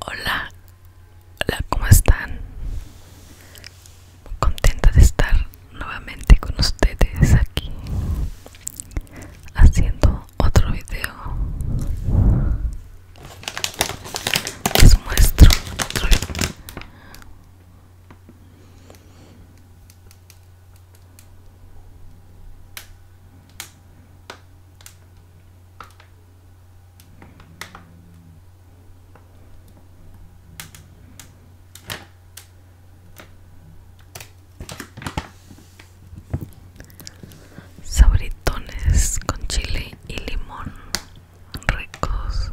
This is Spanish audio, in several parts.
Hola, hola, ¿cómo están? contenta de estar nuevamente con ustedes aquí haciendo otro video. Les muestro otro video. Sabritones con chile y limón ricos.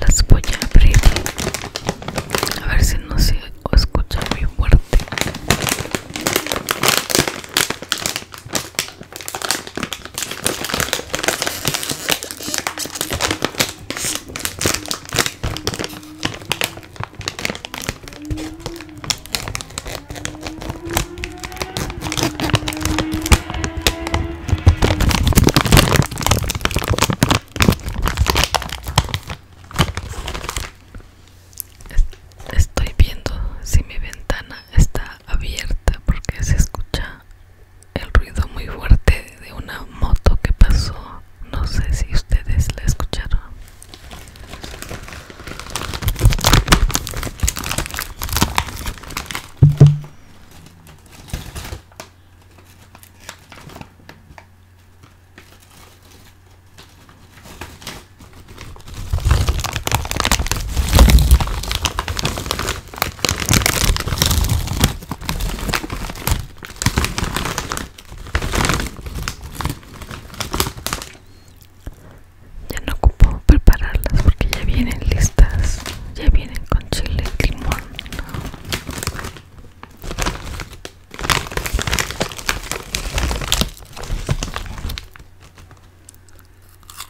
Las voy a abrir. A ver si no se escucha muy fuerte. Estoy viendo si mi ventana está abierta porque se escucha el ruido muy fuerte de una moto que pasó. No sé si ustedes la escucharon. Ya no ocupo prepararlas porque ya vienen listas, ya vienen con chile y limón.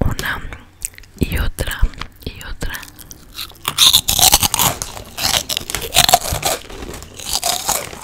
una y otra y otra.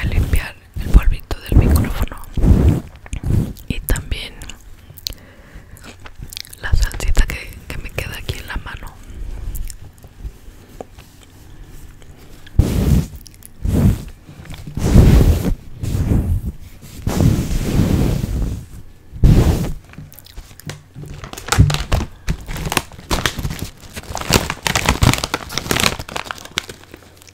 a limpiar el polvito del micrófono y también la salsita que, que me queda aquí en la mano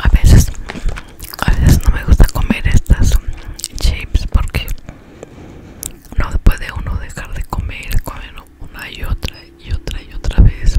A veces, a veces no me gusta comer estas chips porque no puede uno dejar de comer, comer una y otra y otra y otra vez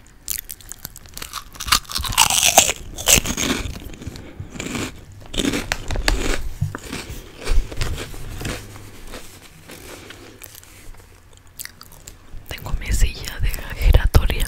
Tengo mi silla de giratoria.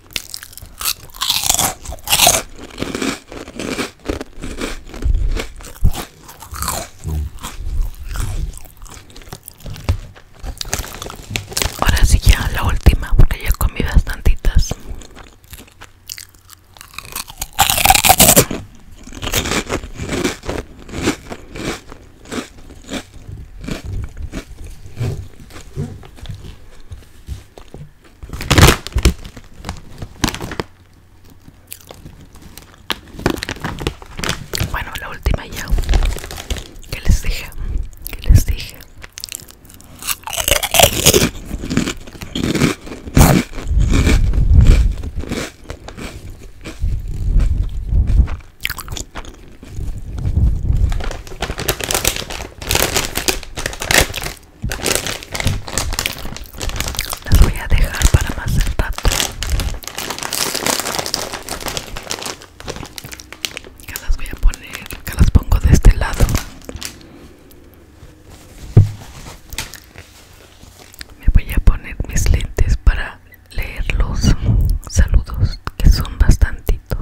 Ahora sí ya la última porque ya comí bastantitas. Bueno, la última ya. ¿Qué les dije? ¿Qué les dije? las voy a dejar para más rato las voy a poner que las pongo de este lado me voy a poner mis lentes para leer los saludos que son bastantitos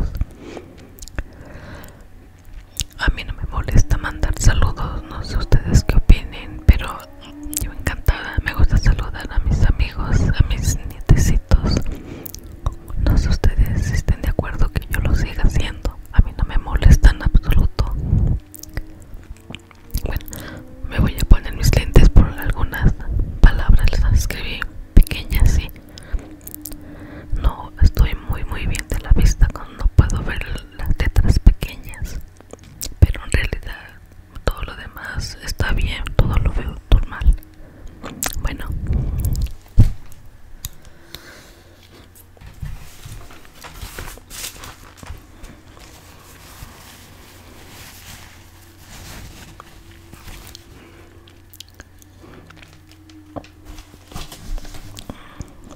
a mí no me molesta mandar saludos, no sé ustedes qué opinen, pero yo encantada, me gusta saludar a mis amigos, a mis nietecitos. No sé ustedes si estén de acuerdo que yo lo siga haciendo, a mí no me molesta en absoluto. Bueno, me voy a poner mis lentes por algunas palabras, las escribí pequeñas, sí. No estoy muy muy bien de la vista cuando puedo ver las letras pequeñas, pero en realidad todo lo demás está bien, todo lo veo normal. Bueno.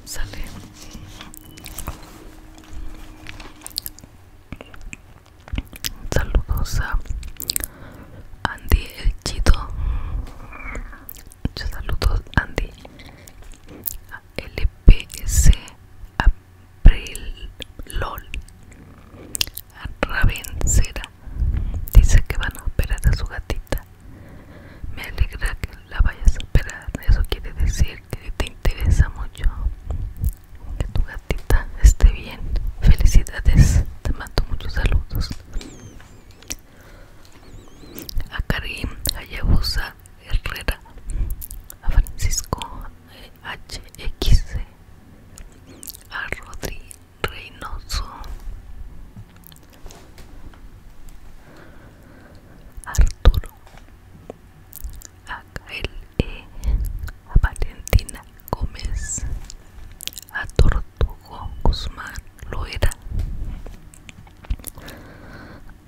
Saludos a Andy el Chido. Muchos saludos Andy. A LPS April LOL. A Ravencera. Dice que van a operar a su gatita. Me alegra que la vayas a esperar, Eso quiere decir que te interesa mucho que tu gatita esté bien. Felicidades. Te mando muchos saludos. A Karim Yabusa Herrera. A Francisco HX. A Rodri Reynoso Arturo E eh, a Valentina Gómez a Tortugo Guzmán Loera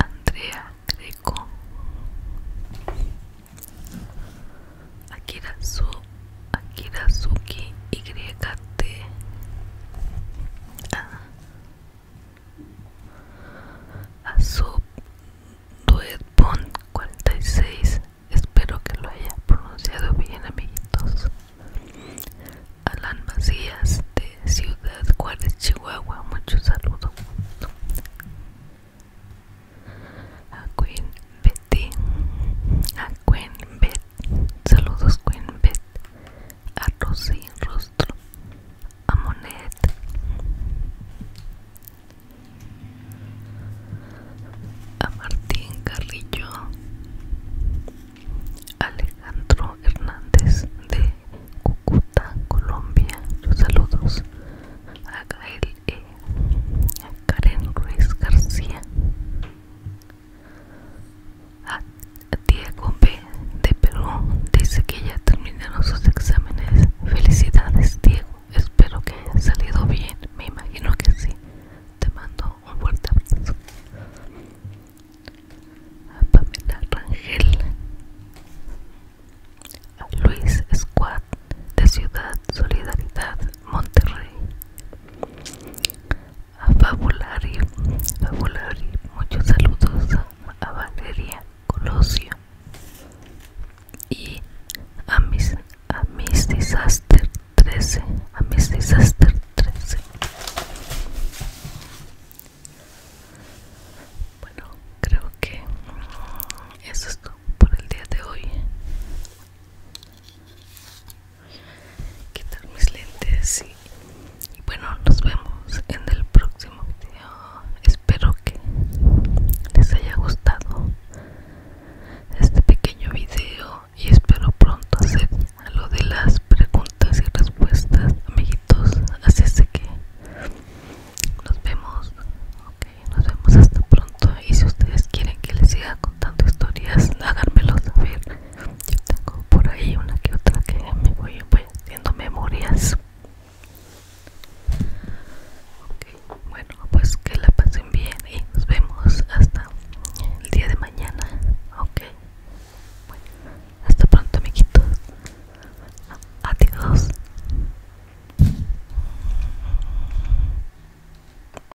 Andrea Greco Akira Akirazuki YT ah. Azub Duetbond 46 Espero que lo haya pronunciado bien amiguitos Alan Macías de Ciudad Juárez, Chihuahua Muchos saludos a Queen Betty, a Queen Betty Saludos Queenbet, a Rosy Rostro, a Monet. A Martín Carrillo, Alejandro Hernández de Cúcuta, Colombia. Los saludos a Gael E. A Karen Ruiz García, Diego B. de Perú dice que ya terminaron sus exámenes. Felicidades, Diego. Espero que haya salido bien. Me imagino que sí. Te mando un fuerte abrazo. A Pamela Rangel. Luis Squad de Ciudad Solidaridad Monterrey a Fabulari, Fabulari, muchos saludos a, Valeria Colosio y a mis, a mis disaster 13, a mis disaster 13. Bueno, creo que eso es todo por el día de hoy quitar mis lentes y, bueno nos vemos en el próximo video espero que les haya gustado este pequeño video y espero pronto hacer lo de las preguntas y respuestas amiguitos así es que nos vemos ok nos vemos hasta pronto y si ustedes quieren que les siga tanto historias, háganmelo saber. Yo tengo por ahí una que otra que me voy, haciendo memorias. Ok, bueno, pues que la pasen bien y nos vemos hasta el día de mañana. Ok, bueno, hasta pronto, amiguitos. Adiós.